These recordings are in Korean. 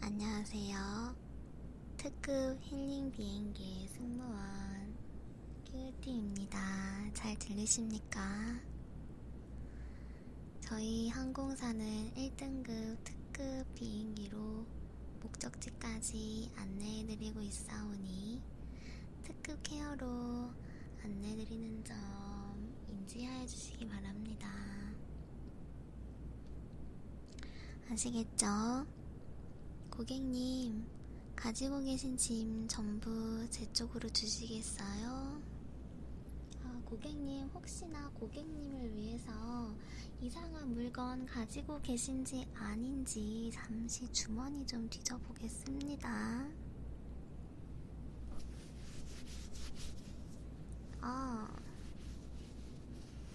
안녕하세요. 특급 힐링 비행기의 승무원 큐티입니다. 잘 들리십니까? 저희 항공사는 1등급 특급 비행기로 목적지까지 안내해드리고 있사오니 특급 케어로 안내드리는 점 인지하여 주시기 바랍니다. 아시겠죠? 고객님, 가지고 계신 짐 전부 제 쪽으로 주시겠어요? 아, 고객님, 혹시나 고객님을 위해서 이상한 물건 가지고 계신지 아닌지 잠시 주머니 좀 뒤져보겠습니다. 아,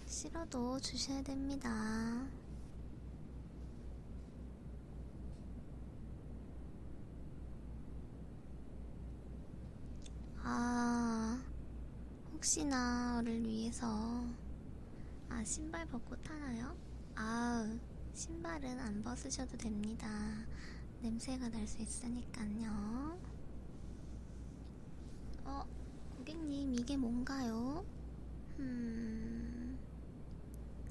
싫어도 주셔야 됩니다. 아, 혹시나를 위해서. 아, 신발 벗고 타나요? 아우, 신발은 안 벗으셔도 됩니다. 냄새가 날 수 있으니까요. 어, 고객님, 이게 뭔가요? 음,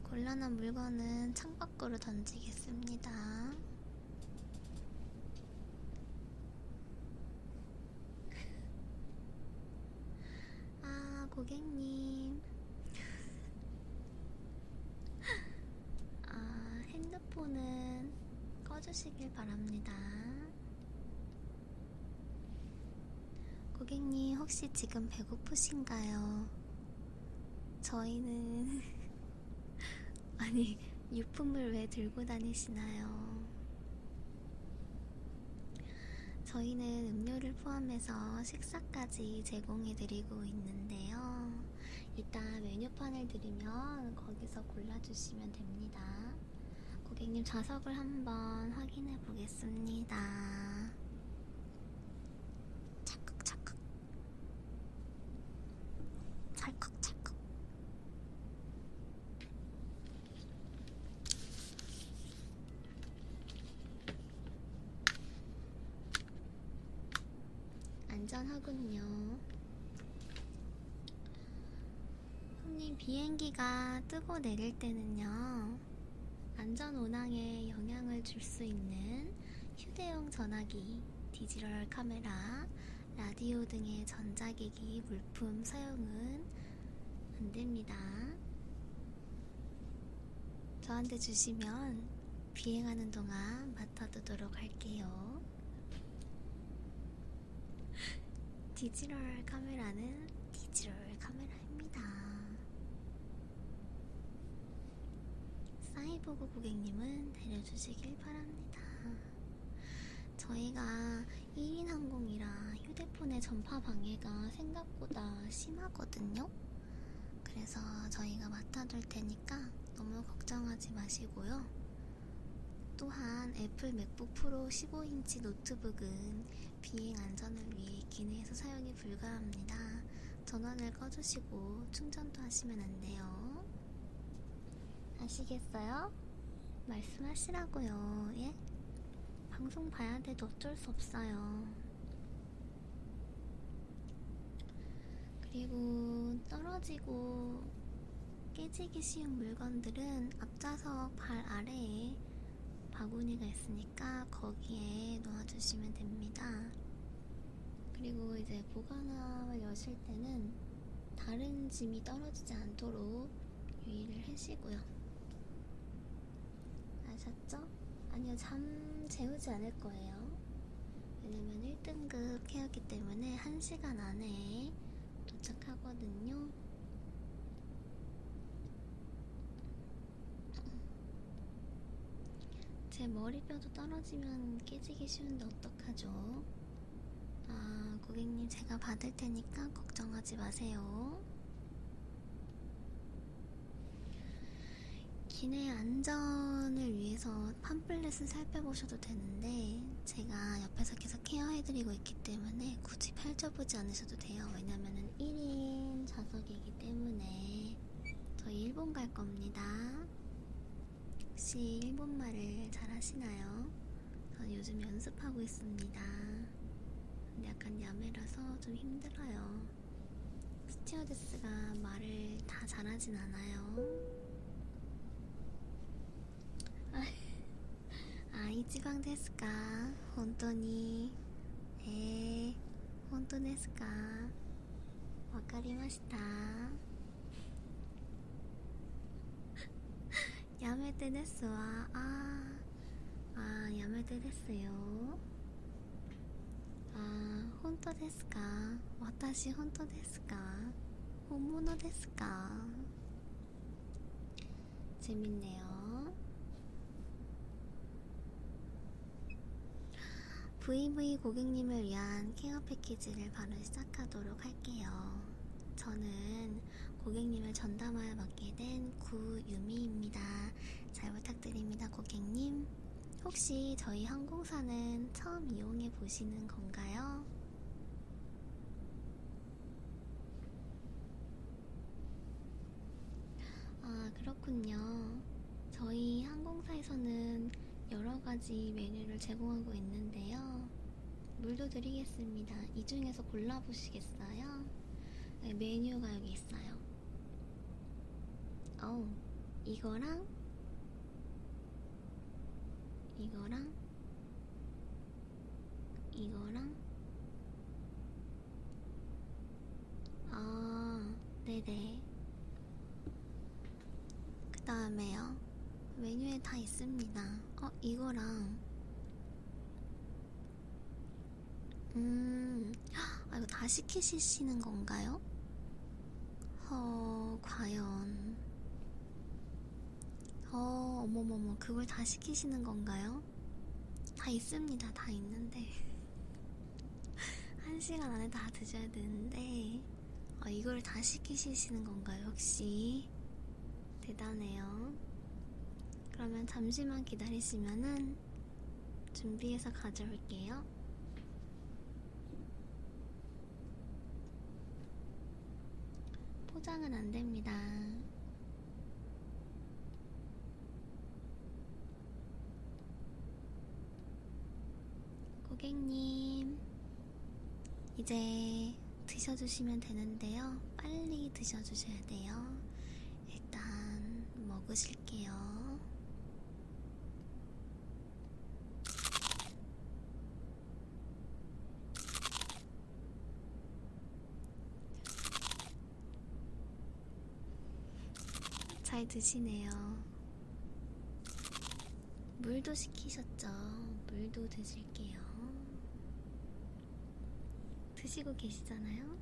곤란한 물건은 창밖으로 던지겠습니다. 아, 고객님. 아, 핸드폰은 꺼주시길 바랍니다. 고객님, 혹시 지금 배고프신가요? 저희는. 아니, 유품을 왜 들고 다니시나요? 저희는 음료를 포함해서 식사까지 제공해드리고 있는데요. 일단 메뉴판을 드리면 거기서 골라주시면 됩니다. 고객님 좌석을 한번 확인해 보겠습니다. 찰칵 찰칵 찰칵 찰칵 안전하군요. 손님 비행기가 뜨고 내릴 때는요. 안전 운항에 영향을 줄 수 있는 휴대용 전화기, 디지털 카메라, 라디오 등의 전자기기 물품 사용은 안 됩니다. 저한테 주시면 비행하는 동안 맡아두도록 할게요. 디지털 카메라는 디지털 카메라입니다. 사이버고 고객님은 내려주시길 바랍니다. 저희가 1인 항공이라 휴대폰의 전파 방해가 생각보다 심하거든요. 그래서 저희가 맡아둘 테니까 너무 걱정하지 마시고요. 또한 애플 맥북 프로 15인치 노트북은 비행 안전을 위해 기내에서 사용이 불가합니다. 전원을 꺼주시고 충전도 하시면 안 돼요. 아시겠어요? 말씀하시라고요. 예? 방송 봐야 돼도 어쩔 수 없어요. 그리고 떨어지고 깨지기 쉬운 물건들은 앞좌석 발 아래에 바구니가 있으니까 거기에 놓아주시면 됩니다. 그리고 이제 보관함을 여실 때는 다른 짐이 떨어지지 않도록 유의를 하시고요. 아셨죠? 아니요, 잠 재우지 않을 거예요. 왜냐면 1등급 케어기 때문에 1시간 안에 도착하거든요. 제 머리뼈도 떨어지면 깨지기 쉬운데 어떡하죠? 아, 고객님 제가 받을 테니까 걱정하지 마세요. 기내 안전을 위해서 어, 팜플렛은 살펴보셔도 되는데 제가 옆에서 계속 케어해드리고 있기 때문에 굳이 펼쳐보지 않으셔도 돼요. 왜냐면은 1인 좌석이기 때문에 저희 일본 갈 겁니다. 혹시 일본말을 잘 하시나요? 저는 요즘 연습하고 있습니다. 근데 약간 야매라서 좀 힘들어요. 스튜어데스가 말을 다 잘하진 않아요. あ一番ですか本当にえー、本当ですかわかりました やめてですわああやめてですよああ 本当ですか私本当ですか本物ですか재밌네요 VV 고객님을 위한 케어 패키지를 바로 시작하도록 할게요. 저는 고객님을 전담하여 맡게 된 구유미입니다. 잘 부탁드립니다, 고객님. 혹시 저희 항공사는 처음 이용해 보시는 건가요? 아, 그렇군요. 저희 항공사에서는 여러 가지 메뉴를 제공하고 있는데요. 물도 드리겠습니다. 이 중에서 골라보시겠어요? 네, 메뉴가 여기 있어요. 어우, 이거랑 이거랑 이거랑 아 네네 그 다음에요 메뉴에 다 있습니다 어 이거랑 음아 이거 다 시키시는 건가요? 어, 과연. 어, 어머머머, 그걸 다 시키시는 건가요? 다 있습니다. 다 있는데. 한 시간 안에 다 드셔야 되는데, 어, 이걸 다 시키시는 건가요, 혹시? 대단해요. 그러면 잠시만 기다리시면은 준비해서 가져올게요. 포장은 안 됩니다. 고객님, 이제 드셔주시면 되는데요. 빨리 드셔주셔야 돼요. 일단 먹으실게요. 잘 드시네요. 물도 시키셨죠? 물도 드실게요. 드시고 계시잖아요?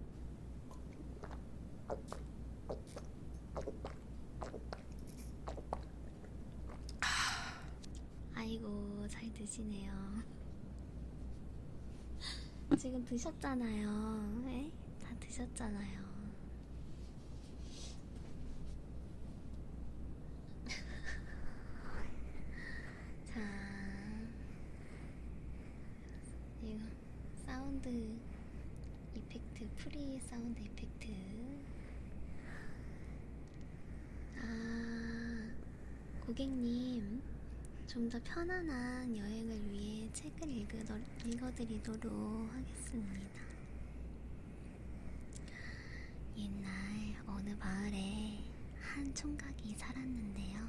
아이고, 잘 드시네요. 지금 드셨잖아요. 에? 예? 다 드셨잖아요. 자, 이거 사운드 이펙트, 프리 사운드 이펙트. 아, 고객님, 좀 더 편안한 여행을 위해 책을 읽어, 읽어드리도록 하겠습니다. 옛날 어느 마을에 한 총각이 살았는데요.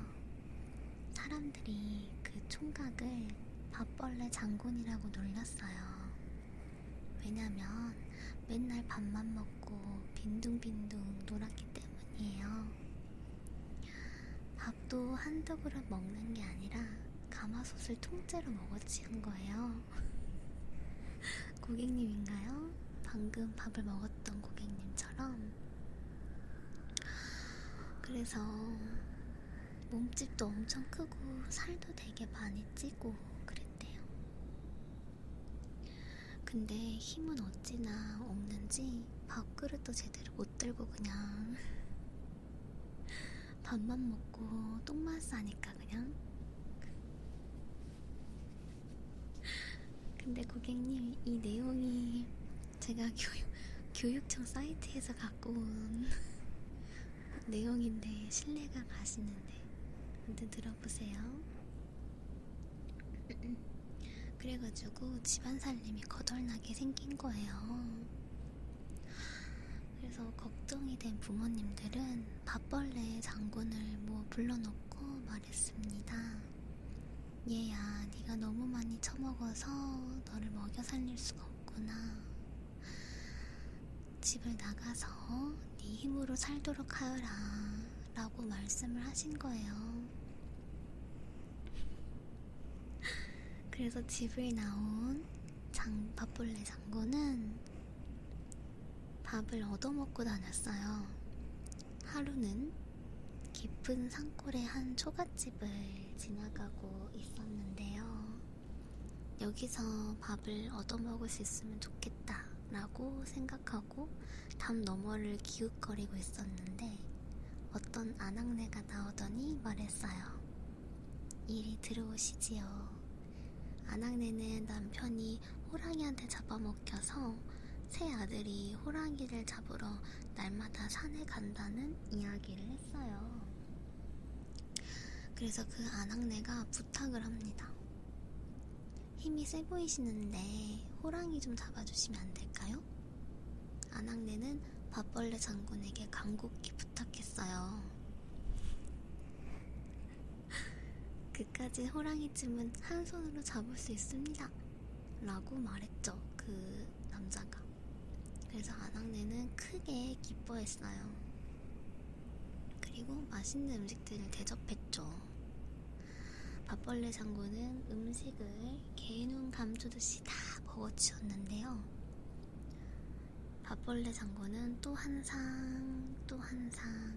사람들이 그 총각을 밥벌레 장군이라고 놀렸어요. 왜냐면 맨날 밥만 먹고 빈둥빈둥 놀았기 때문이에요. 밥도 한두 그릇 먹는 게 아니라 가마솥을 통째로 먹어치운 거예요. 고객님인가요? 방금 밥을 먹었던 고객님처럼. 그래서 몸집도 엄청 크고 살도 되게 많이 찌고 그랬 있대요. 근데 힘은 어찌나 없는지 밥그릇도 제대로 못 들고 그냥 밥만 먹고 똥만 싸니까 그냥. 근데 고객님 이 내용이 제가 교육, 교육청 사이트에서 갖고 온 내용인데 신뢰가 가시는데 아무튼 들어보세요. 그래가지고 집안 살림이 거덜나게 생긴 거예요. 그래서 걱정이 된 부모님들은 밥벌레 장군을 뭐 불러놓고 말했습니다. 얘야, 네가 너무 많이 처먹어서 너를 먹여 살릴 수가 없구나. 집을 나가서 네 힘으로 살도록 하여라 라고 말씀을 하신 거예요. 그래서 집을 나온 장, 밥벌레 장군은 밥을 얻어먹고 다녔어요. 하루는 깊은 산골의 한 초가집을 지나가고 있었는데요. 여기서 밥을 얻어먹을 수 있으면 좋겠다 라고 생각하고 담 너머를 기웃거리고 있었는데 어떤 아낙네가 나오더니 말했어요. 이리 들어오시지요. 아낙네는 남편이 호랑이한테 잡아먹혀서 새 아들이 호랑이를 잡으러 날마다 산에 간다는 이야기를 했어요. 그래서 그 아낙네가 부탁을 합니다. 힘이 세 보이시는데 호랑이 좀 잡아주시면 안 될까요? 아낙네는 밥벌레 장군에게 간곡히 부탁했어요. 그까지 호랑이쯤은 한 손으로 잡을 수 있습니다. 라고 말했죠. 그 남자가. 그래서 아낙네는 크게 기뻐했어요. 그리고 맛있는 음식들을 대접했죠. 밥벌레 장군은 음식을 개눈 감추듯이 다 먹어치웠는데요. 밥벌레 장군은 또한 상, 또한 상,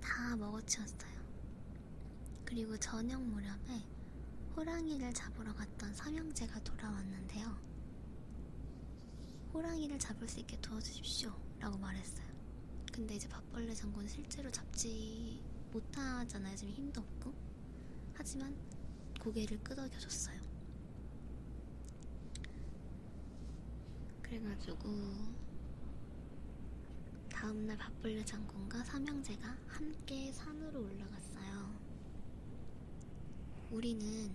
다 먹어치웠어요. 그리고 저녁 무렵에 호랑이를 잡으러 갔던 삼형제가 돌아왔는데요. 호랑이를 잡을 수 있게 도와주십시오. 라고 말했어요. 근데 이제 밥벌레 장군 실제로 잡지 못하잖아요. 지금 힘도 없고. 하지만 고개를 끄덕여줬어요. 그래가지고 다음날 밥벌레 장군과 삼형제가 함께 산으로 올라갔어요. 우리는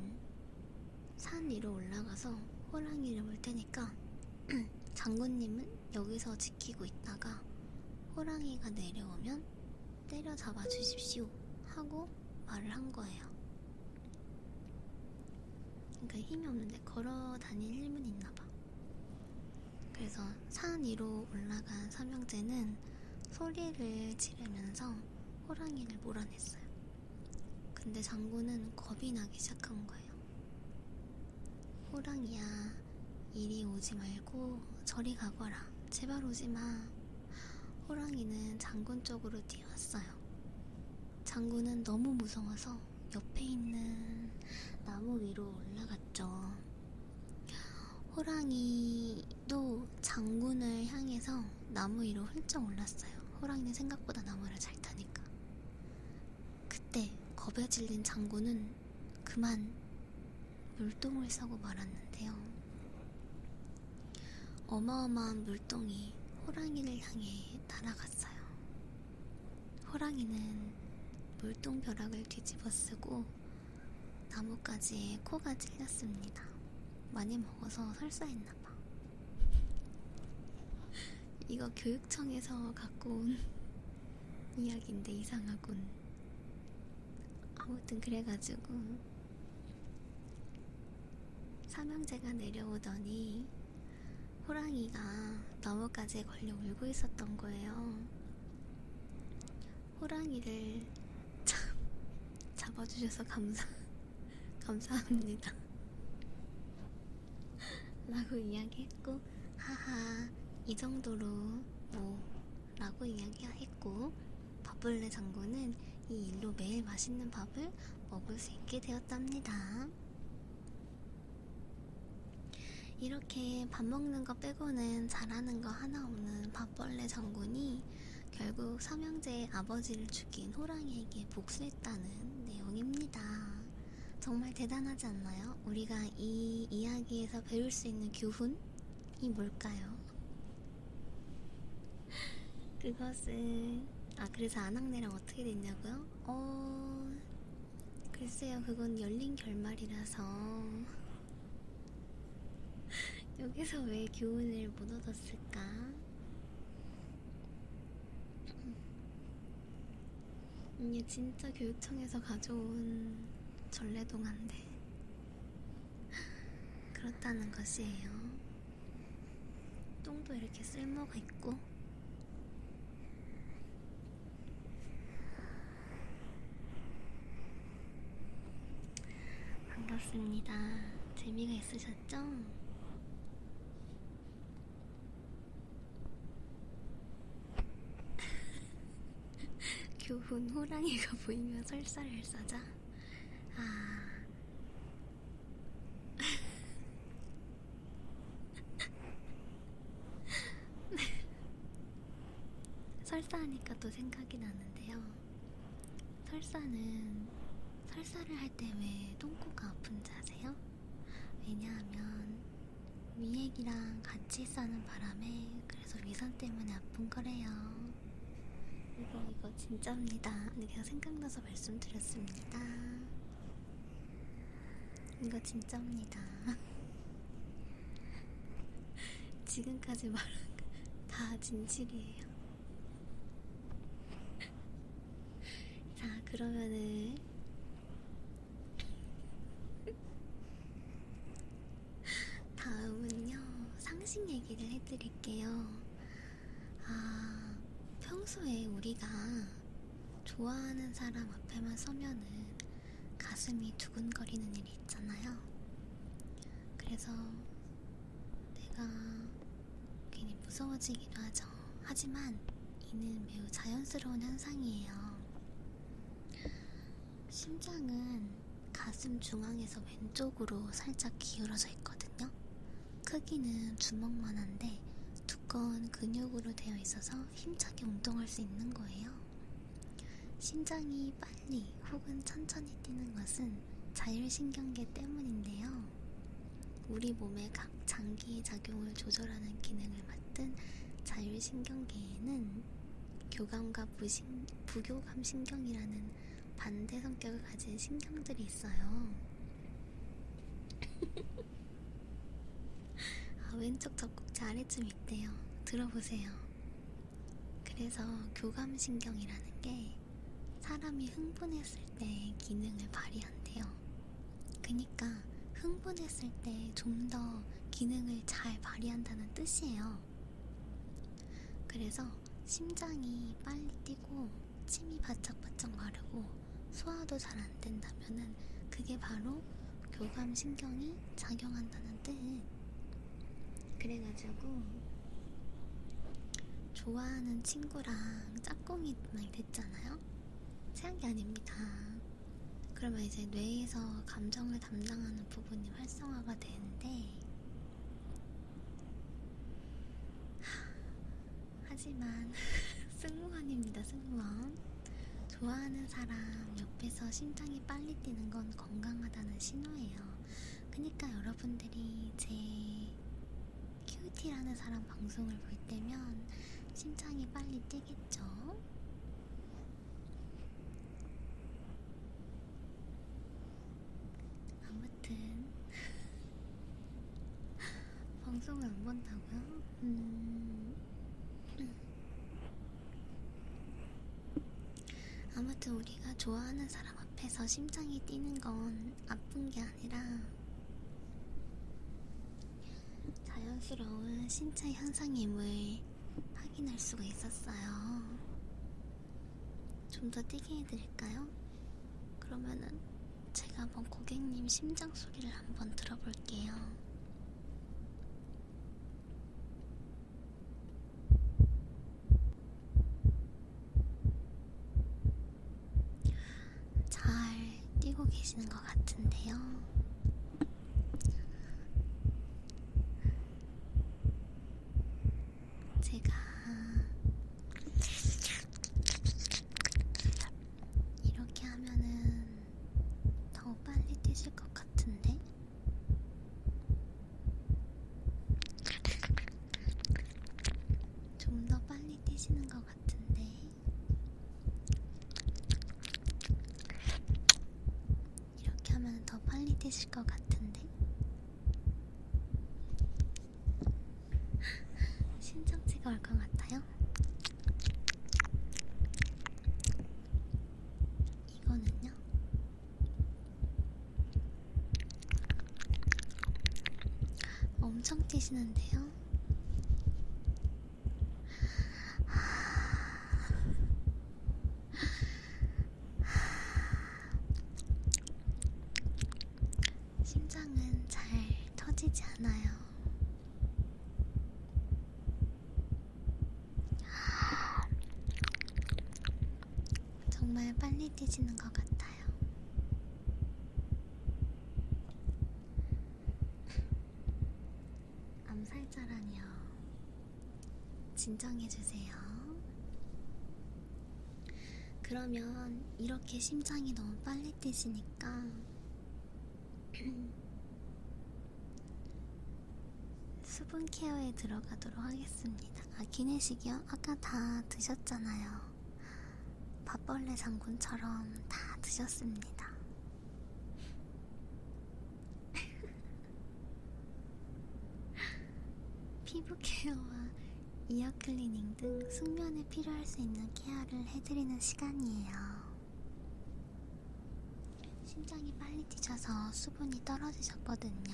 산 위로 올라가서 호랑이를 물 테니까 장군님은 여기서 지키고 있다가 호랑이가 내려오면 때려잡아 주십시오 하고 말을 한 거예요. 그러니까 힘이 없는데 걸어 다닐 힘은 있나 봐. 그래서 산 위로 올라간 삼형제는 소리를 지르면서 호랑이를 몰아냈어요. 근데 장군은 겁이 나기 시작한 거예요. 호랑이야, 이리 오지 말고 저리 가거라. 제발 오지 마. 호랑이는 장군 쪽으로 뛰어왔어요. 장군은 너무 무서워서 옆에 있는 나무 위로 올라갔죠. 호랑이도 장군을 향해서 나무 위로 훌쩍 올랐어요. 호랑이는 생각보다 나무를 잘 타니까. 그때 겁에 질린 장군은 그만 물동을 싸고 말았는데요. 어마어마한 물동이 호랑이를 향해 날아갔어요. 호랑이는 물동 벼락을 뒤집어 쓰고 나뭇가지에 코가 찔렸습니다. 많이 먹어서 설사했나봐. 이거 교육청에서 갖고 온 이야기인데 이상하군. 아무튼 그래가지고 삼형제가 내려오더니 호랑이가 나무까지 걸려 울고 있었던 거예요. 호랑이를 참 잡아주셔서 감사 감사합니다. 라고 이야기했고, 하하, 이 정도로 뭐, 라고 이야기했고, 밥벌레 장군은 이 일로 매일 맛있는 밥을 먹을 수 있게 되었답니다. 이렇게 밥 먹는 거 빼고는 잘하는 거 하나 없는 밥벌레 장군이 결국 삼형제의 아버지를 죽인 호랑이에게 복수해 있다는 내용입니다. 정말 대단하지 않나요? 우리가 이 이야기에서 배울 수 있는 교훈이 뭘까요? 그것은 아 그래서 안학내랑 어떻게 됐냐고요? 어 글쎄요 그건 열린 결말이라서 여기서 왜 교훈을 못 얻었을까? 이게 진짜 교육청에서 가져온 전래동안데 그렇다는 것이에요. 똥도 이렇게 쓸모가 있고. 반갑습니다. 재미가 있으셨죠? 교훈 호랑이가 보이면 설사를 싸자. 아. 설사하니까 또 생각이 나는데요. 설사는 설사를 할 때 왜 똥꼬가 아픈지 아세요? 왜냐하면 위액이랑 같이 싸는 바람에 그래서 위산 때문에 아픈 거래요. 이거 이거 진짜입니다. 그냥 생각나서 말씀드렸습니다. 이거 진짜입니다. 지금까지 말한 거 다 진실이에요. 자, 그러면은 다음은요, 상식 얘기를 해드릴게요. 아, 평소에 우리가 좋아하는 사람 앞에만 서면은 가슴이 두근거리는 일이 있잖아요. 그래서 내가 괜히 무서워지기도 하죠. 하지만 이는 매우 자연스러운 현상이에요. 심장은 가슴 중앙에서 왼쪽으로 살짝 기울어져 있거든요. 크기는 주먹만한데 두꺼운 근육으로 되어 있어서 힘차게 운동할 수 있는 거예요. 심장이 빨리 혹은 천천히 뛰는 것은 자율신경계 때문인데요. 우리 몸의 각 장기 작용을 조절하는 기능을 맡은 자율신경계에는 교감과 부신, 부교감 신경이라는 반대 성격을 가진 신경들이 있어요. 아, 왼쪽 적국자 아래쯤 있대요. 들어보세요. 그래서 교감신경이라는 게 사람이 흥분했을 때 기능을 발휘한대요. 그니까 흥분했을 때 좀 더 기능을 잘 발휘한다는 뜻이에요. 그래서 심장이 빨리 뛰고 침이 바짝바짝 마르고 소화도 잘 안 된다면은 그게 바로 교감신경이 작용한다는 뜻. 그래가지고 좋아하는 친구랑 짝꿍이 막 이렇게 있잖아요. 생각이 아닙니다. 그러면 이제 뇌에서 감정을 담당하는 부분이 활성화가 되는데, 하, 하지만 승무원입니다, 승무원. 좋아하는 사람 옆에서 심장이 빨리 뛰는 건 건강하다는 신호예요. 그러니까 여러분들이 제 큐티라는 사람 방송을 볼 때면 심장이 빨리 뛰겠죠? 아무튼 방송을 안 본다고요? 음... 아무튼 우리가 좋아하는 사람 앞에서 심장이 뛰는 건 아픈 게 아니라 자연스러운 신체 현상임을 확인할 수가 있었어요. 좀더 뛰게 해드릴까요? 그러면은 제가 한번 고객님 심장 소리를 한번 들어볼게요. 잘 뛰고 계시는 것 같은데요. 제가 이렇게 하면은 더 빨리 뛰실 것 같은데. 좀 더 빨리 뛰시는 것 같아요. 같은데. 이렇게 하면 더 빨리 드실 것 같은데. 신정지가 올 것 같아요. 이거는요. 엄청 뛰시는데요. 심장은 잘 터지지 않아요. 정말 빨리 뛰지는 것 같아요. 암살자라니요. 진정해주세요. 그러면 이렇게 심장이 너무 빨리 뛰시니까 수분 케어에 들어가도록 하겠습니다. 아, 기내식이요? 아까 다 드셨잖아요. 밥벌레 장군처럼 다 드셨습니다. 피부 케어와 이어 클리닝 등 숙면에 필요할 수 있는 케어를 해드리는 시간이에요. 심장이 빨리 뛰셔서 수분이 떨어지셨거든요.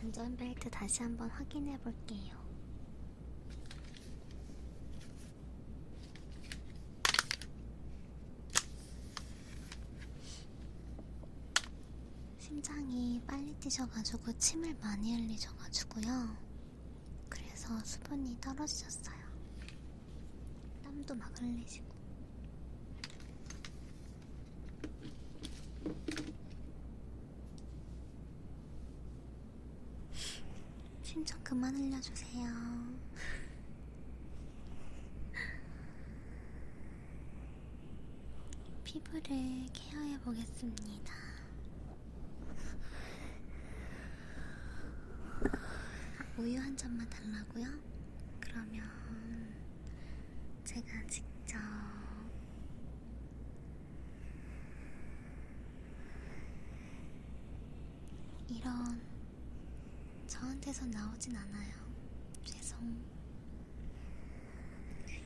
안전벨트 다시 한번 확인해 볼게요. 심장이 빨리 뛰셔가지고 침을 많이 흘리셔가지고요. 그래서 수분이 떨어지셨어요. 땀도 막 흘리시고. 신청 그만 흘려주세요. 피부를 케어해 보겠습니다. 우유 한 잔만 달라고요? 그러면 제가 직접 이런 저한테서 나오진 않아요. 죄송.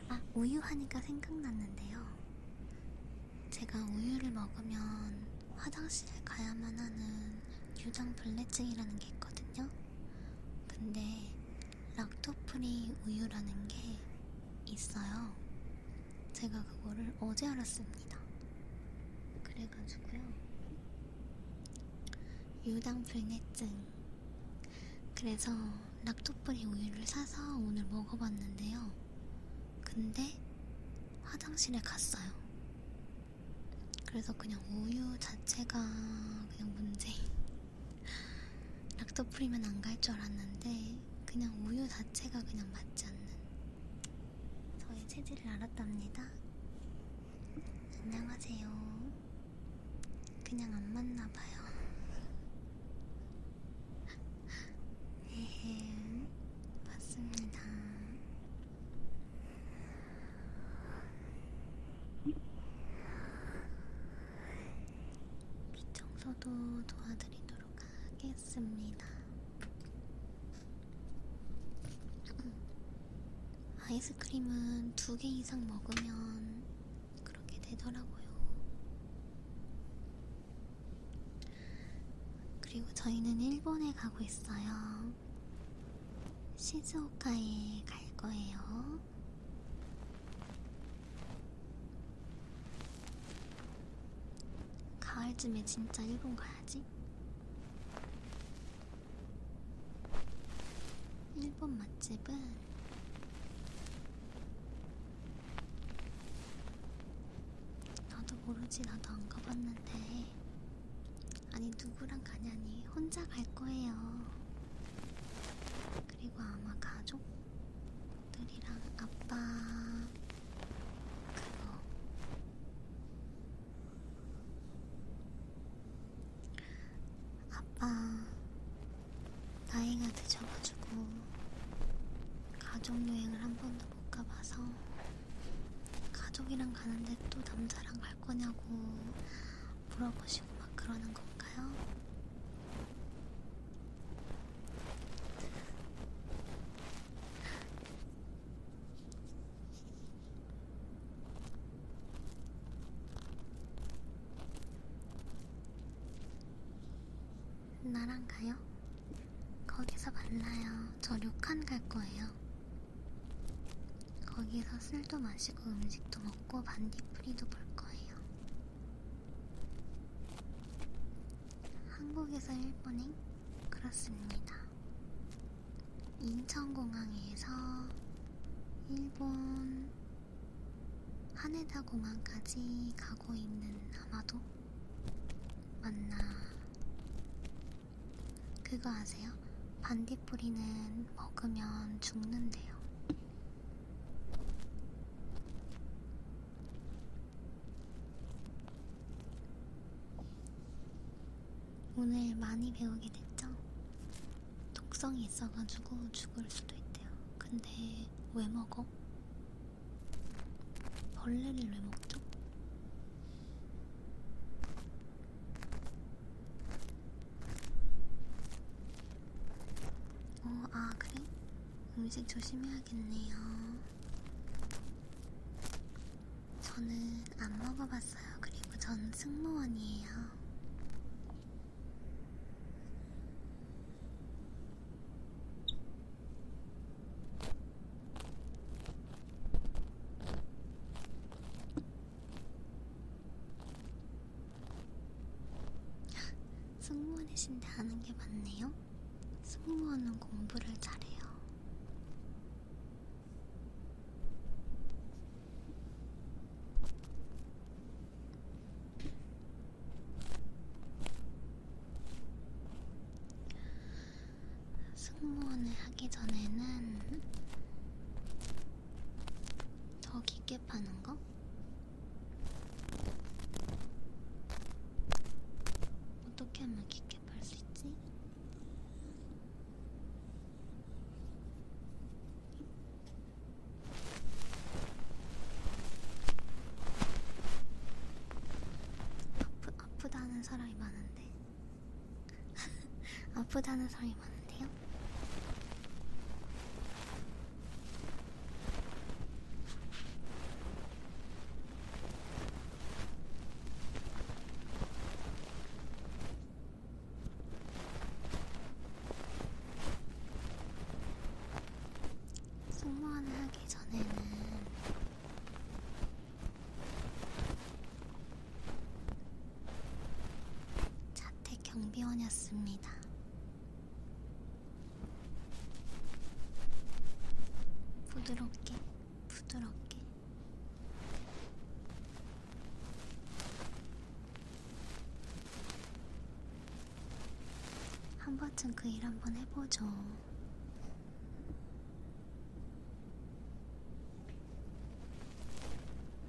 아, 우유 하니까 생각났는데요. 제가 우유를 먹으면 화장실에 가야만 하는 유당 불내증이라는 게 있거든요. 근데 락토프리 우유라는 게 있어요. 제가 그거를 어제 알았습니다. 그래가지고요. 유당 불내증. 그래서 락토프리 우유를 사서 오늘 먹어봤는데요. 근데 화장실에 갔어요. 그래서 그냥 우유 자체가 그냥 문제. 락토프리면 안 갈 줄 알았는데 그냥 우유 자체가 그냥 맞지 않는 저의 체질을 알았답니다. 안녕하세요. 그냥 안 맞나봐요. 에헴, 맞습니다. 귀 청소도 도와드리도록 하겠습니다. 아이스크림은 두 개 이상 먹으면 그렇게 되더라고요. 그리고 저희는 일본에 가고 있어요. 시즈오카에 갈 거예요. 가을쯤에 진짜 일본 가야지. 일본 맛집은 나도 모르지 나도 안 가봤는데 아니 누구랑 가냐니 혼자 갈 거예요. 그리고 아마 가족들이랑 아빠 그거 아빠 나이가 늦어가지고 가족 여행을 한 번도 못 가봐서 가족이랑 가는데 또 남자랑 갈 거냐고 물어보시고 막 그러는 건가요? 나랑 가요? 거기서 만나요. 저 료칸 갈 거예요. 거기서 술도 마시고 음식도 먹고 반딧프리도 볼 거예요. 한국에서 일본행? 그렇습니다. 인천공항에서 일본 하네다 공항까지 가고 있는 아마도 맞나 그거 아세요? 반딧불이는 먹으면 죽는데요. 오늘 많이 배우게 됐죠? 독성이 있어가지고 죽을 수도 있대요. 근데 왜 먹어? 벌레를 왜 먹죠? 어, 아, 그래? 음식 조심해야겠네요. 저는 안 먹어봤어요. 그리고 전 승무원이에요. 승무원이신데 아는 게 맞네요. 승무원은 공부를 잘해요. 승무원을 하기 전에는 더 깊게 파는 거? 어떻게 하면 깊게 팔 수 있지? 아프, 아프다는 사람이 많은데 아프다는 사람이 많은데요. 승무원을 하기 전에는 자택 경비원이었습니다. 부드럽게, 부드럽게. 한 번쯤 그 일 한번 해보죠.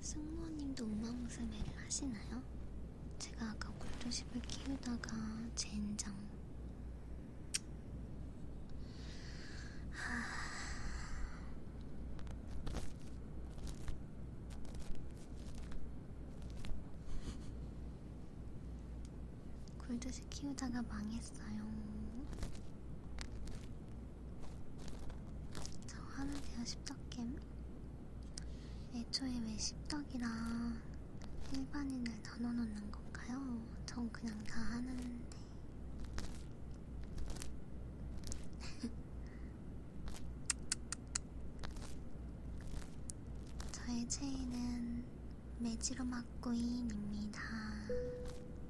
승무원님도 우마무스매를 하시나요? 제가 아까 굴도십을 키우다가 젠장 하... 굴도십 강아지 키우다가 망했어요. 저 하는데요, 십덕겜. 애초에 왜 십덕이라 일반인을 다 넣어놓는 건가요? 전 그냥 다 하는데. 저의 체인은 매지로막구이입니다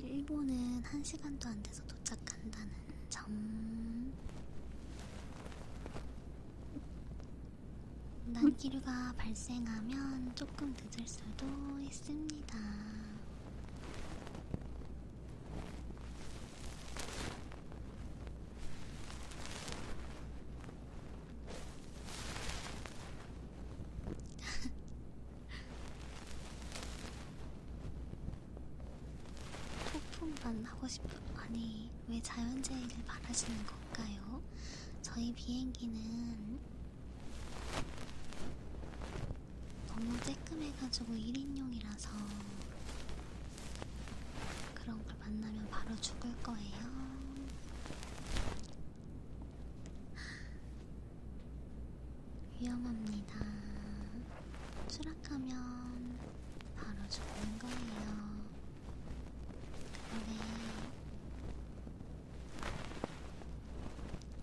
일본은 한 시간도 안 돼서 도착한다는 점. 난기류가 음. 발생하면 조금 늦을 수도 있습니다. 소품만 하고 싶은 아니 왜 자연재해를 바라시는 걸까요? 저희 비행기는 너무 쬐끔해가지고 1인용이라서 그런 걸 만나면 바로 죽을 거예요. 위험합니다. 추락하면 바로 죽는 거예요. 그러네.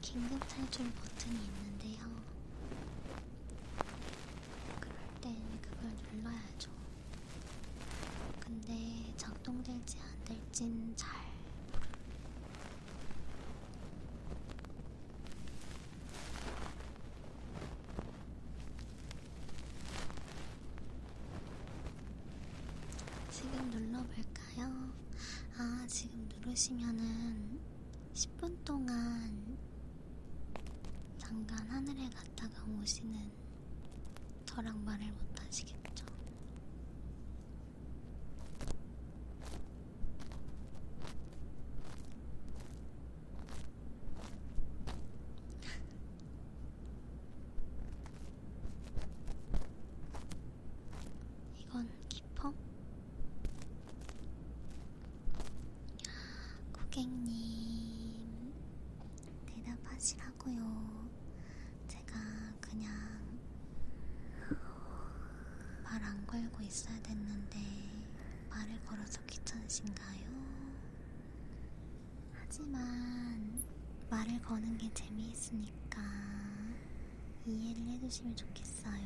긴급 탈출 버튼이 있는데요. 그럴 땐 그걸 눌러야죠. 근데 작동될지 안 될진 잘. 지금 눌러볼까요? 아, 지금 누르시면은 10분 동안 잠깐 하늘에 갔다가 오시는 저랑 말을 못 하시겠죠? 이건 기펑? 고객님, 대답하시라고요. 제가 그냥 말안 걸고 있어야 됐는데 말을 걸어서 귀찮으신가요? 하지만 말을 거는 게 재미있으니까 이해를 해주시면 좋겠어요.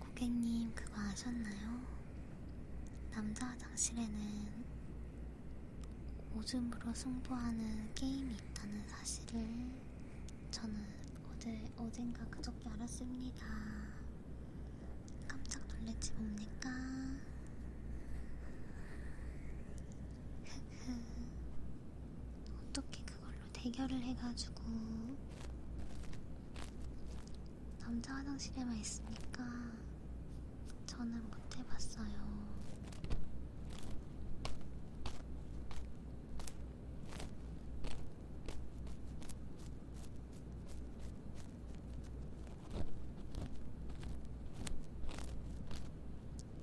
고객님, 그거 아셨나요? 남자 화장실에는 오줌으로 승부하는 게임이 있다는 사실을 저는 어제, 어젠가 그저께 알았습니다. 깜짝 놀랐지 뭡니까? 흐흐. 어떻게 그걸로 대결을 해가지고 남자 화장실에만 있으니까 저는 못 해봤어요.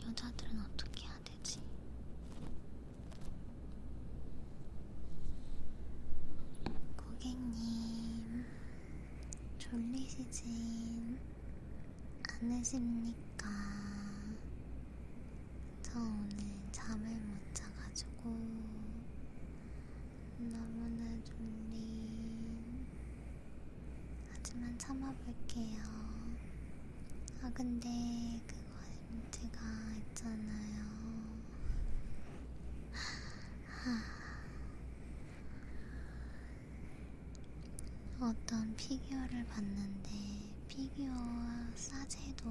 여자들은 어떻게 해야 되지? 고객님, 졸리시지? 않으십니까? 저 오늘 잠을 못 자가지고 너무나 졸린. 하지만 참아볼게요. 아, 근데 그거 제가 있잖아요. 하... 어떤 피규어를 봤는데 피규어와 싸제도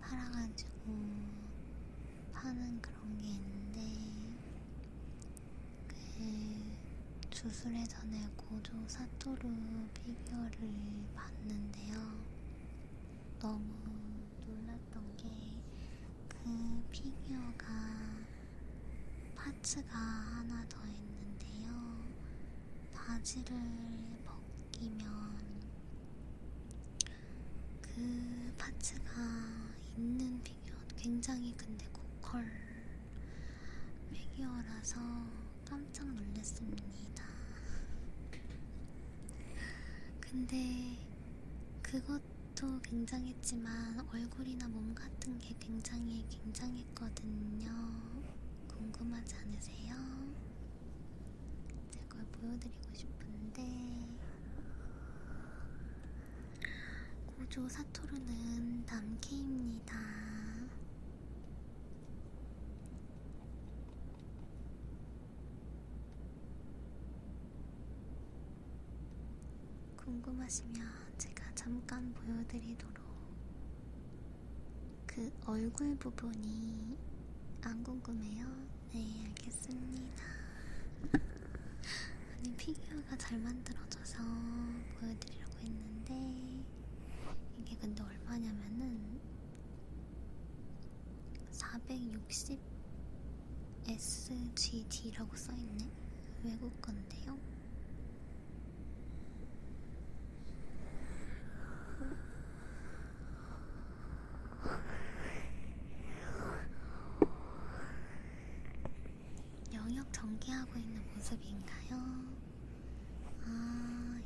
팔아가지고 파는 그런 게 있는데 그 주술의 전에 고조 사토루 피규어를 봤는데요. 너무 놀랐던 게 그 피규어가 파츠가 하나 더 있는데요. 바지를 벗기면 그 파츠가 있는 피규어 굉장히 근데 고컬 피규어라서 깜짝 놀랐습니다. 근데 그것도 굉장했지만 얼굴이나 몸 같은 게 굉장히 굉장히 있거든요. 궁금하지 않으세요? 제가 그걸 보여드리고 싶은데 고조 사토르는 남캐입니다. 궁금하시면 제가 잠깐 보여드리도록 그 얼굴 부분이 안 궁금해요? 네, 알겠습니다. 아니, 피규어가 잘 만들어져서 보여드리려고 했는데, 이게 근데 얼마냐면은, 460SGD라고 써있네? 외국 건데요? 영역 전개하고 있는 모습인가요? 아,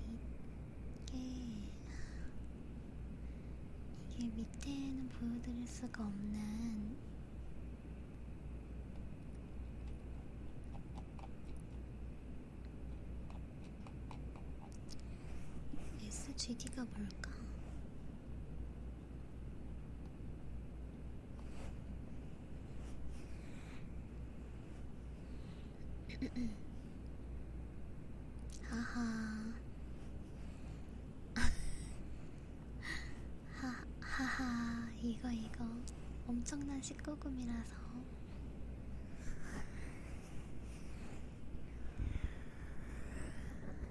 이게 이게 밑에는 보여드릴 수가 없는 SGD가 뭘까? 하하 하하하 이거 이거 엄청난 19금이라서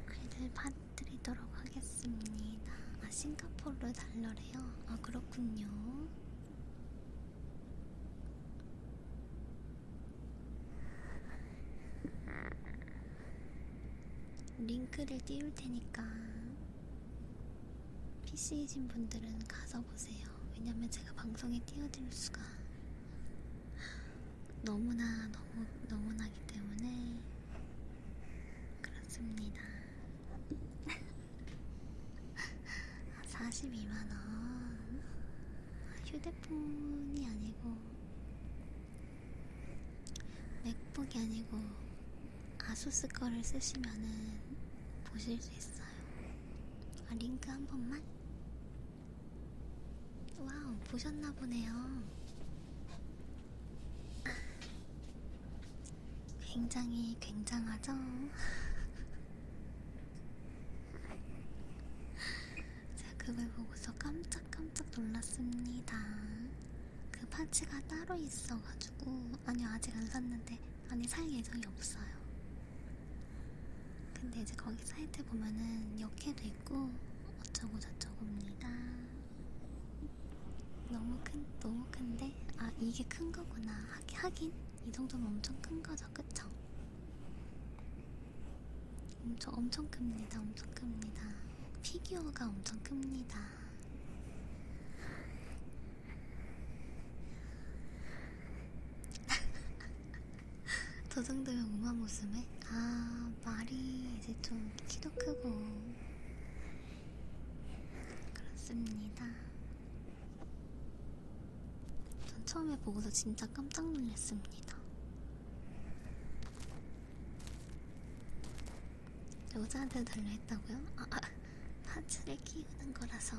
있어서 글을 봐드리도록 하겠습니다. 아 싱가포르 달러래요? 아 그렇군요. 링크를 띄울 테니까 PC이신 분들은 가서 보세요. 왜냐면 제가 방송에 띄워드릴 수가 너무나 너무 너무나기 때문에 그렇습니다. 42만원 아, 휴대폰이 아니고 맥북이 아니고 아수스 거를 쓰시면은 보실 수 있어요. 아, 링크 한 번만? 와우, 보셨나 보네요. 굉장히 굉장하죠? 제가 그걸 보고서 깜짝깜짝 놀랐습니다. 그 파츠가 따로 있어가지고 아니요, 아직 안 샀는데, 아니, 살 예정이 없어요. 근데 이제 거기 사이트 보면은 역해도 있고, 어쩌고저쩌고입니다. 너무 큰, 너무 큰데? 아, 이게 큰 거구나. 하, 하긴, 이 정도면 엄청 큰 거죠, 그쵸? 엄청, 엄청 큽니다, 엄청 큽니다. 피규어가 엄청 큽니다. 저 정도면 우만 모습에? 아, 말이 이제 좀 키도 크고. 그렇습니다. 전 처음에 보고서 진짜 깜짝 놀랐습니다. 여자한테 달라 했다고요? 아, 아. 하츠를 키우는 거라서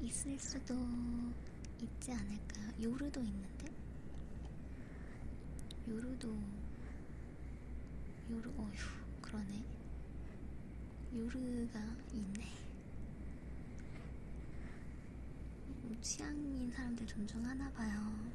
있을 수도 있지 않을까요? 요루도 있는데? 요루도 요루 어휴 그러네 요르가 있네. 음, 취향인 사람들 존중하나 봐요.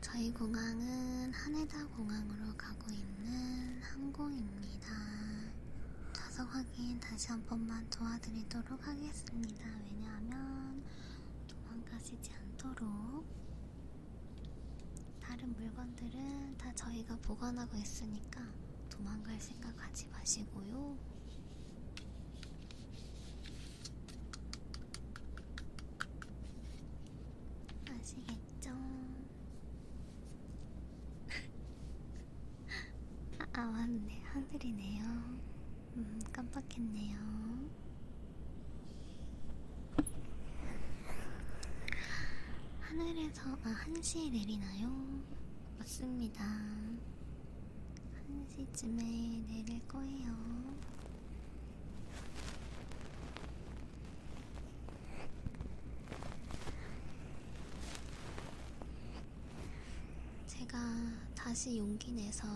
저희 공항은 하네다 공항으로 가고 있는 항공입니다. 좌석 확인 다시 한 번만 도와드리도록 하겠습니다. 왜냐하면 도망가시지 않도록 다른 물건들은 다 저희가 보관하고 있으니까 도망갈 생각 하지 마시고요. 아시겠죠? 아, 아, 맞네. 하늘이네요. 음, 깜빡했네요. 하늘에서 아 1시에 내리나요? 맞습니다. 1시쯤에 내릴 거예요. 제가 다시 용기 내서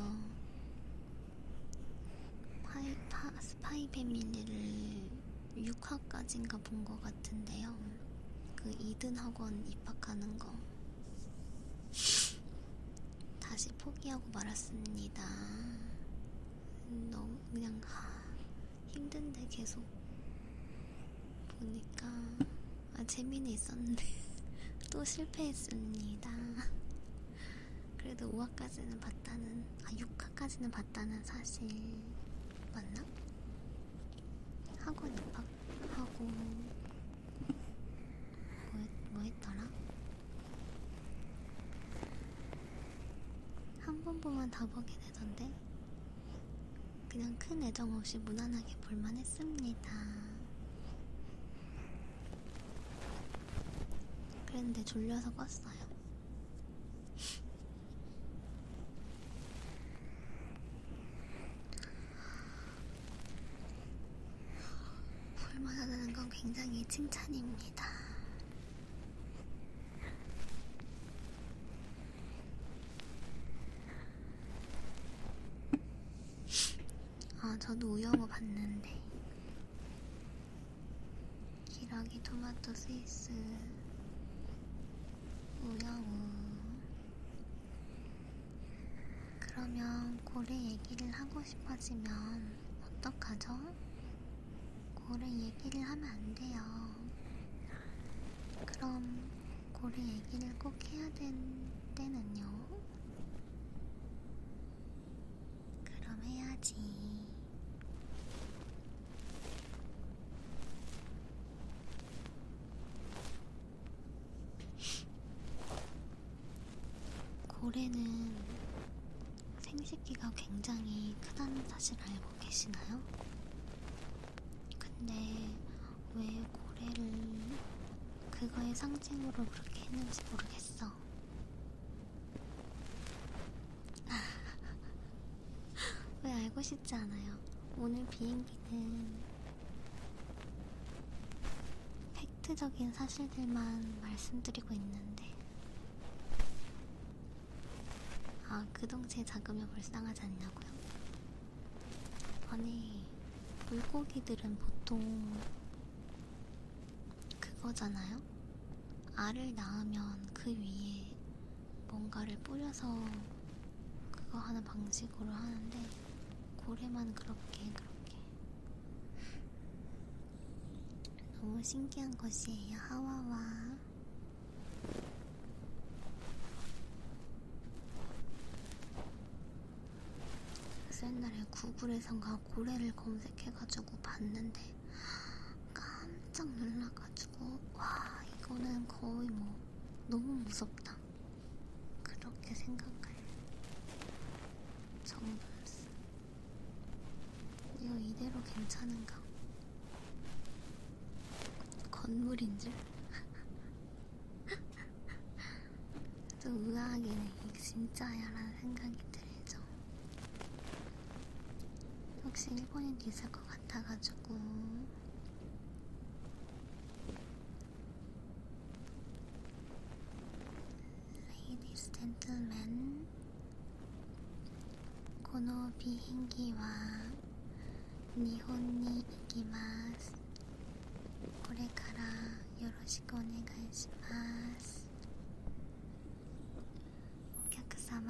파이, 파, 스파이 패밀리를 6화까지인가 본 것 같은데요. 그 이든 학원 입학하는 거. 다시 포기하고 말았습니다. 너무 그냥 하, 힘든데 계속 보니까 아 재미는 있었는데 또 실패했습니다. 그래도 5화까지는 봤다는, 아, 6화까지는 봤다는 사실 맞나? 학원 입학하고, 뭐, 했, 뭐 했더라? 한 번 보면 다 보게 되던데, 그냥 큰 애정 없이 무난하게 볼만 했습니다. 그런데 졸려서 껐어요. 볼만하다는 건 굉장히 칭찬입니다. 아, 저도 우영우 봤는데. 기러기 토마토 스위스. 우영우. 그러면 고래 얘기를 하고 싶어지면 어떡하죠? 고래 얘기를 하면 안 돼요. 그럼 고래 얘기를 꼭 해야 된 때는요? 그럼 해야지. 고래는 생식기가 굉장히 크다는 사실 알고 계시나요? 근데 왜 고래를 그거의 상징으로 그렇게 했는지 모르겠어. 왜 알고 싶지 않아요? 오늘 비행기는 팩트적인 사실들만 말씀드리고 있는데 아, 그 동체 작으면 불쌍하지 않냐고요? 아니, 물고기들은 보통 그거잖아요. 알을 낳으면 그 위에 뭔가를 뿌려서 그거 하는 방식으로 하는데 고래만 그렇게 그렇게 너무 신기한 것이에요. 하와와 그래서 옛날에 구글에선가 고래를 검색해가지고 봤는데 깜짝 놀라가지고 와 이거는 거의 뭐 너무 무섭다 그렇게 생각할 정범스 이거 이대로 괜찮은가 건물인 줄 좀 의아하긴 해. 이게 진짜야라는 생각이 들죠. 혹시 일본인 있을 것 같아가지고. Ladies, gentlemen. この비행기は日本に行きます。これからよろし しくお願いしますお客様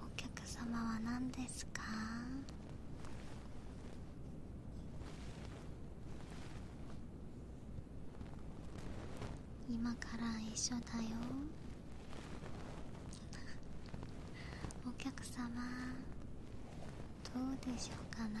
お客様は何ですか今から一緒だよお客様どうでしょうかな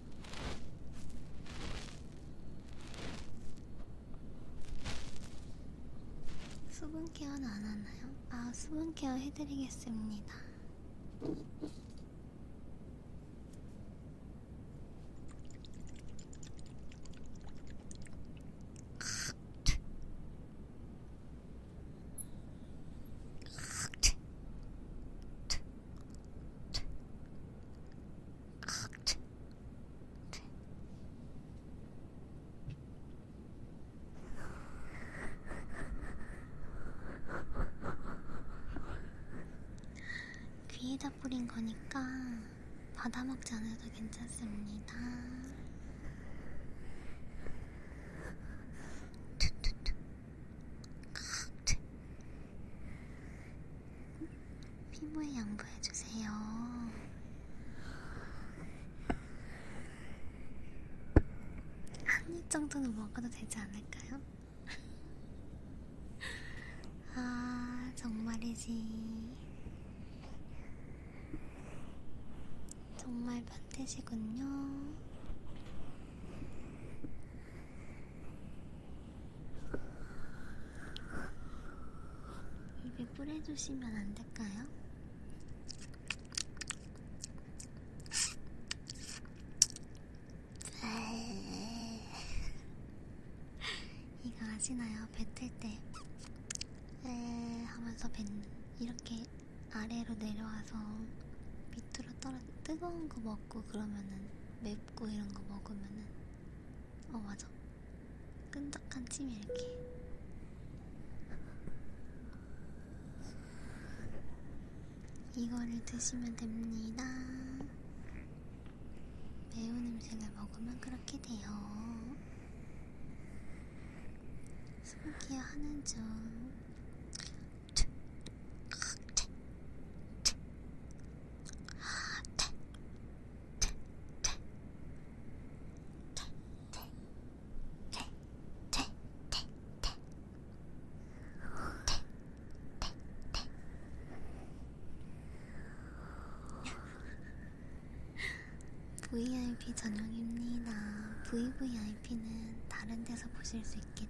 수분 케어는 안 하나요? 아, 수분 케어 해드리겠습니다. 귀에다 뿌린 거니까 받아먹지 않아도 괜찮습니다. 투투투 피부에 양보해주세요. 한입 정도는 먹어도 되지 않을까요? 아, 정말이지. 정말 반대시군요. 입에 뿌려주시면 안 될까요? 이거 아시나요? 뱉을 때에 하면서 뱉는 이렇게 아래로 내려와서 밑으로 떨어 뜨거운 거먹 먹고 그러면은 맵고 이런 거 먹으면은 어 맞아 끈적한 침이 이렇게 이거를 드시면 됩니다. 매운 음식을 먹으면 그렇게 돼요. 스킨케어 하는 중 VIP 전용입니다. VVIP는 다른 데서 보실 수 있게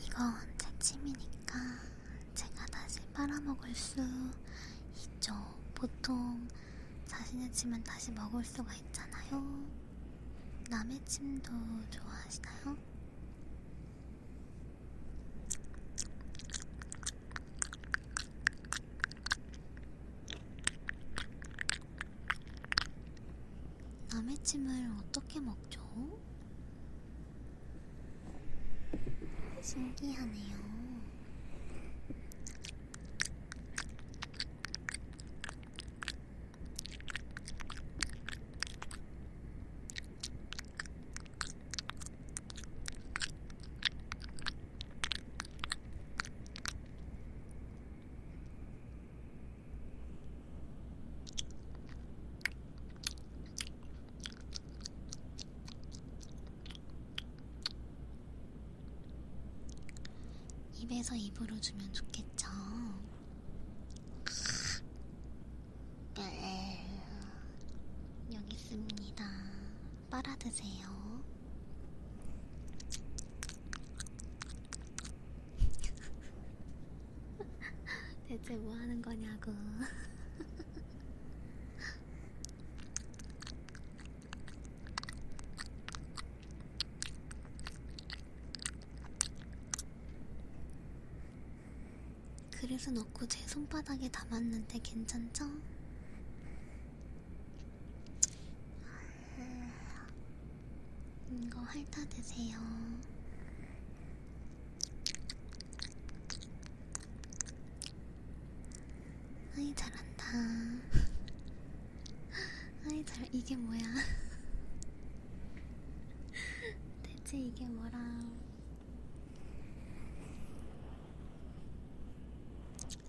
이건 제 침이니까 제가 다시 빨아먹을 수 있죠. 보통 자신의 침은 다시 먹을 수가 있잖아요. 남의 침도 좋아하시나요? 남의 침을 어떻게 먹죠? 신기하네요. 입에서 입으로 주면 좋겠죠? 네. 여기 있습니다. 빨아드세요. 대체 뭐 하는 거냐고. 그래서 넣고 제 손바닥에 담았는데 괜찮죠? 음, 이거 핥아 드세요. 아이 잘한다. 아이 잘 이게 뭐야? 대체 이게 뭐랑?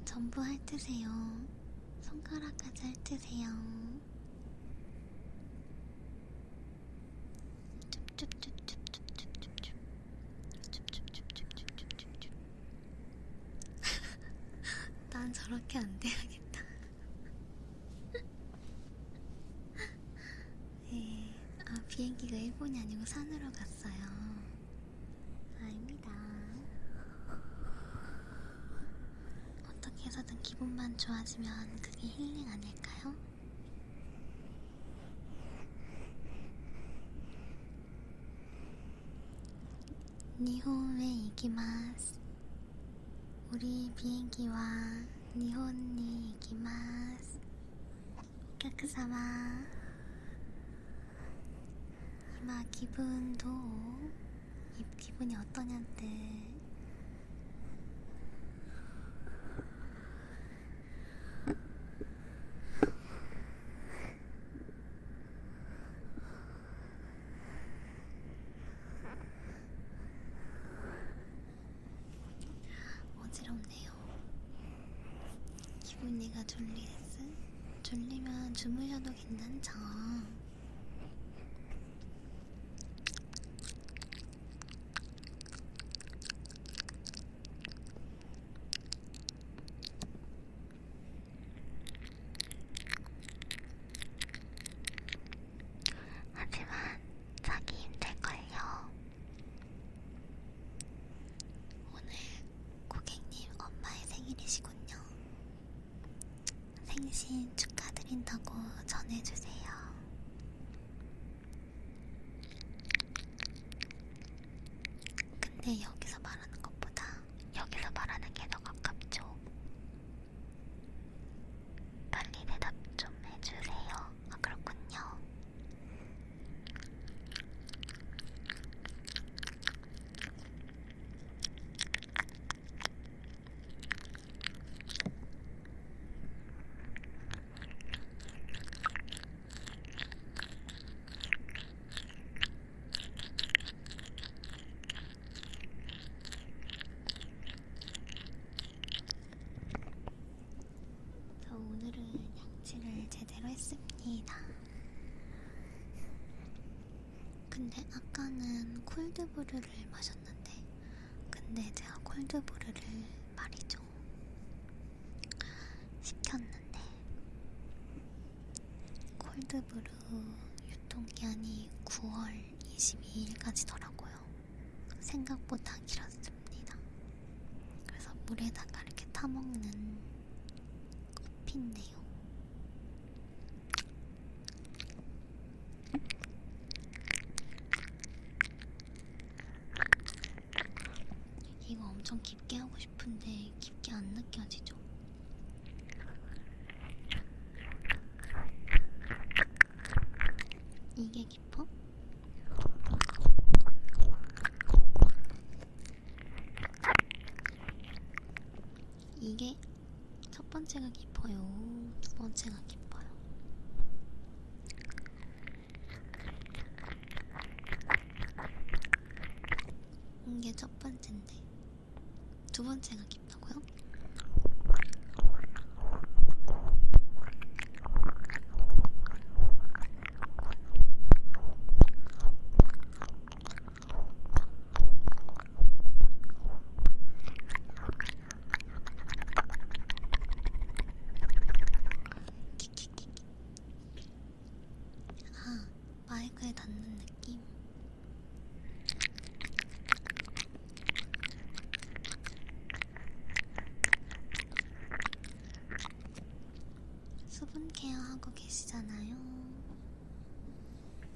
전부 핥으세요. 손가락까지 핥으세요. 난 저렇게 안 돼야겠다. 네, 아, 비행기가 일본이 아니고 산으로 갔어요. 아닙니다. 어떻게 해서든 기분만 좋아지면 그게 힐링 아닐까요? 니혼에 이기마스 우리 비행기와 니혼이 이기마스 깨끗사마 이마 기분도 입 기분이 어떠냐는데 어지럽네요. 기분이가 졸리겠음? 졸리면 주무셔도 괜찮죠? 하지만 자기 힘들걸요. 오늘 고객님 엄마의 생일이시군요. 생신 축하드린다고 전해주세요. 근데 여기서 말하는 것보다 여기서 말하는 게 더 가깝죠. 빨리 대답 좀 해주세요. 아, 그렇군요. 저 오늘은 양치를 제대로 했습니다. 근데 아까는 콜드브루를 콜드브루를 마셨는데 근데 제가 콜드브루를 말이죠 시켰는데 콜드브루 유통기한이 9월 22일까지더라고요 생각보다 길었습니다 그래서 물에다가 이렇게 타먹는 커피인데요 이거 엄청 깊게 하고 싶은데 깊게 안 느껴지죠? 이게 깊어? 이게 첫 번째가 깊어요. 두 번째가 깊어요. 이게 첫 번째인데 두 번째가 깊다고요? 아, 마이크에 닿는 느낌. 수분 케어하고 계시잖아요.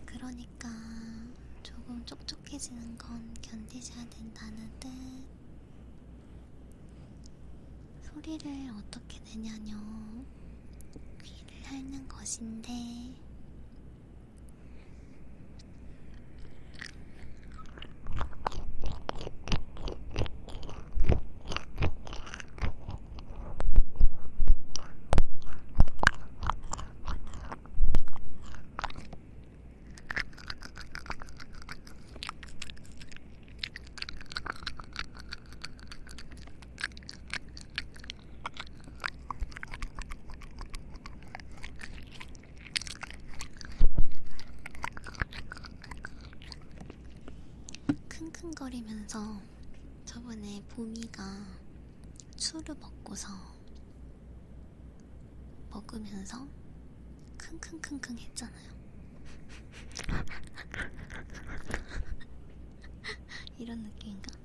그러니까 조금 촉촉해지는 건 견디셔야 된다는 뜻. 소리를 어떻게 내냐뇨? 귀를 핥는 것인데. 킁킁거리면서 저번에 보미가 술을 먹고서 먹으면서 킁킁킁킁 했잖아요. 이런 느낌인가?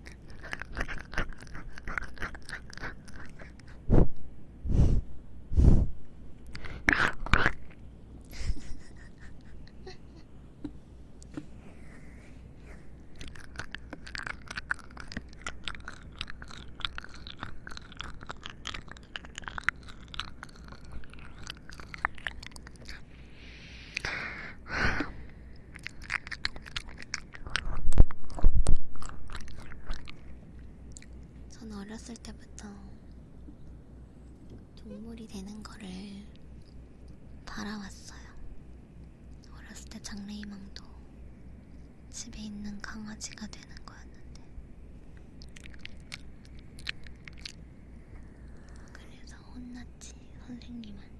전 어렸을 때부터 동물이 되는 거를 바라왔어요. 어렸을 때 장래희망도 집에 있는 강아지가 되는 거였는데 그래서 혼났지 선생님한테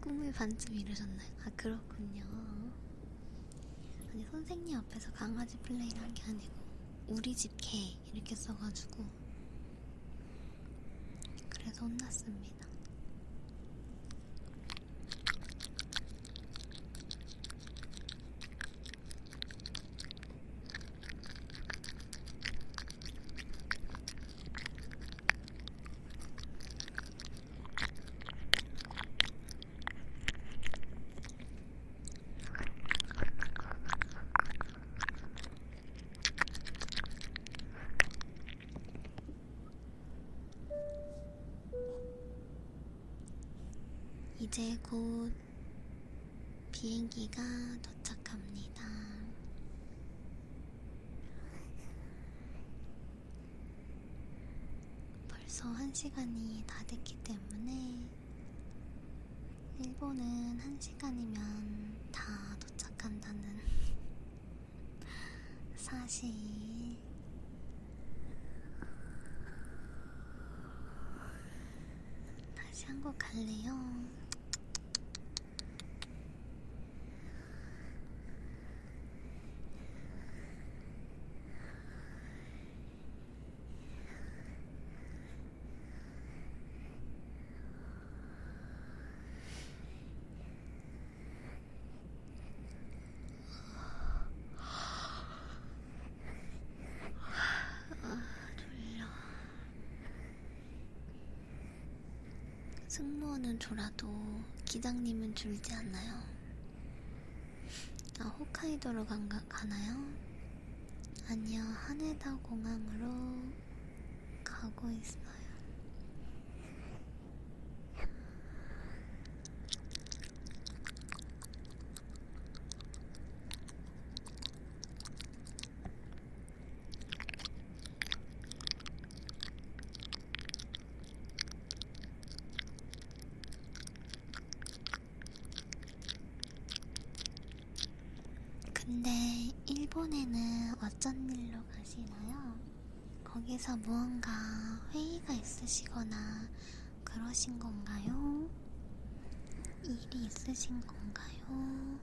꿈을 반쯤 이루셨나요? 아 그렇군요. 아니 선생님 앞에서 강아지 플레이를 한 게 아니고 우리 집 개 이렇게 써가지고 그래서 혼났습니다. 이제 곧 비행기가 도착합니다. 벌써 한 시간이 다 됐기 때문에 일본은 한 시간이면 다 도착한다는 사실. 다시 한곡 갈래요. 아, 졸려. 승무원은 졸아도 기장님은 졸지 않나요? 아, 홋카이도로 간가, 가나요? 아니요, 하네다 공항으로 가고 있어요. 근데 일본에는 어쩐 일로 가시나요? 거기서 무언가 회의가 있으시거나 그러신 건가요? 일이 있으신 건가요?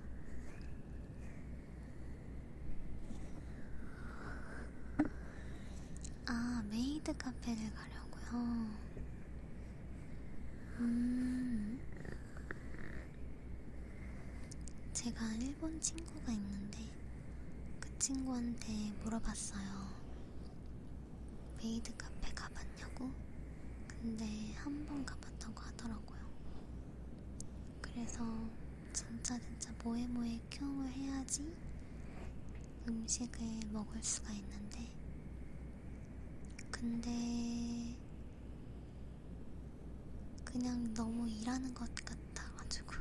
아, 메이드 카페를 가려고요. 음. 제가 일본 친구가 있는데 그 친구한테 물어봤어요. 메이드 카페 가봤냐고? 근데 한 번 가봤다고 하더라고요. 그래서 진짜 진짜 뭐해 뭐해 큐움을 해야지 음식을 먹을 수가 있는데 근데 그냥 너무 일하는 것 같아가지고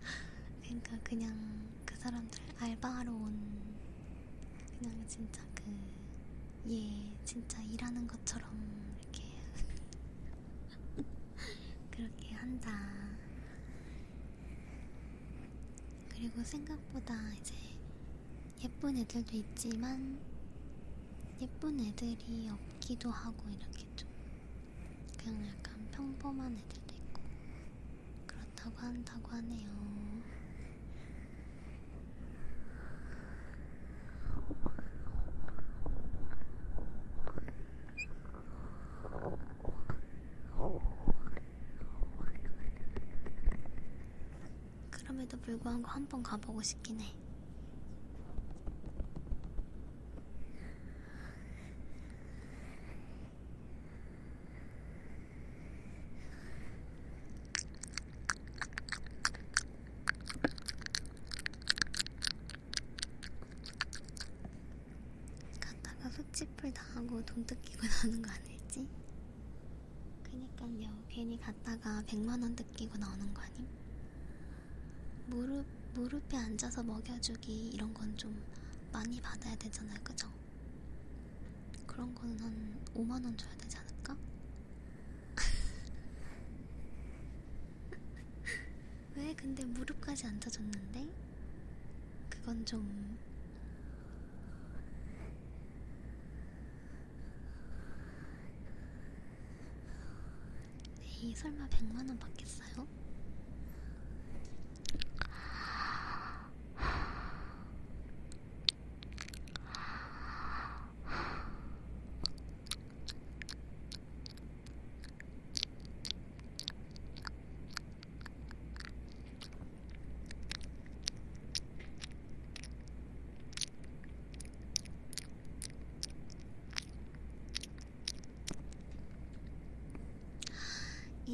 그러니까 그냥 그 사람들 알바하러 온 그냥 진짜 그 예 진짜 일하는 것처럼 이렇게 그렇게 한다. 그리고 생각보다 이제 예쁜 애들도 있지만 예쁜 애들이 없기도 하고 이렇게 좀 그냥 약간 평범한 애들도 있고 그렇다고 한다고 하네요. 그럼에도 불구하고 한 번 가보고 싶긴 해. 갔다가 흑집풀 당하고 돈 뜯기고 나오는 거 아닐지? 그니깐요 괜히 갔다가 100만원 뜯기고 나오는 거 아님? 무릎, 무릎에 앉아서 먹여주기 이런 건 좀 많이 받아야 되잖아요 그죠? 그런 거는 한 5만원 줘야 되지 않을까? 왜 근데 무릎까지 앉아줬는데? 그건 좀 에이 네, 설마 100만원 받겠어요?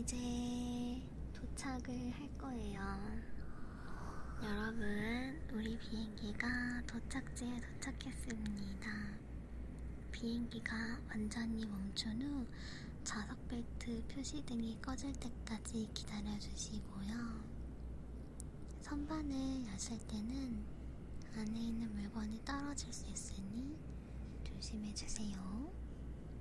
이제 도착을 할 거예요. 여러분, 우리 비행기가 도착지에 도착했습니다. 비행기가 완전히 멈춘 후 좌석 벨트 표시등이 꺼질 때까지 기다려주시고요. 선반을 여실 때는 안에 있는 물건이 떨어질 수 있으니 조심해주세요.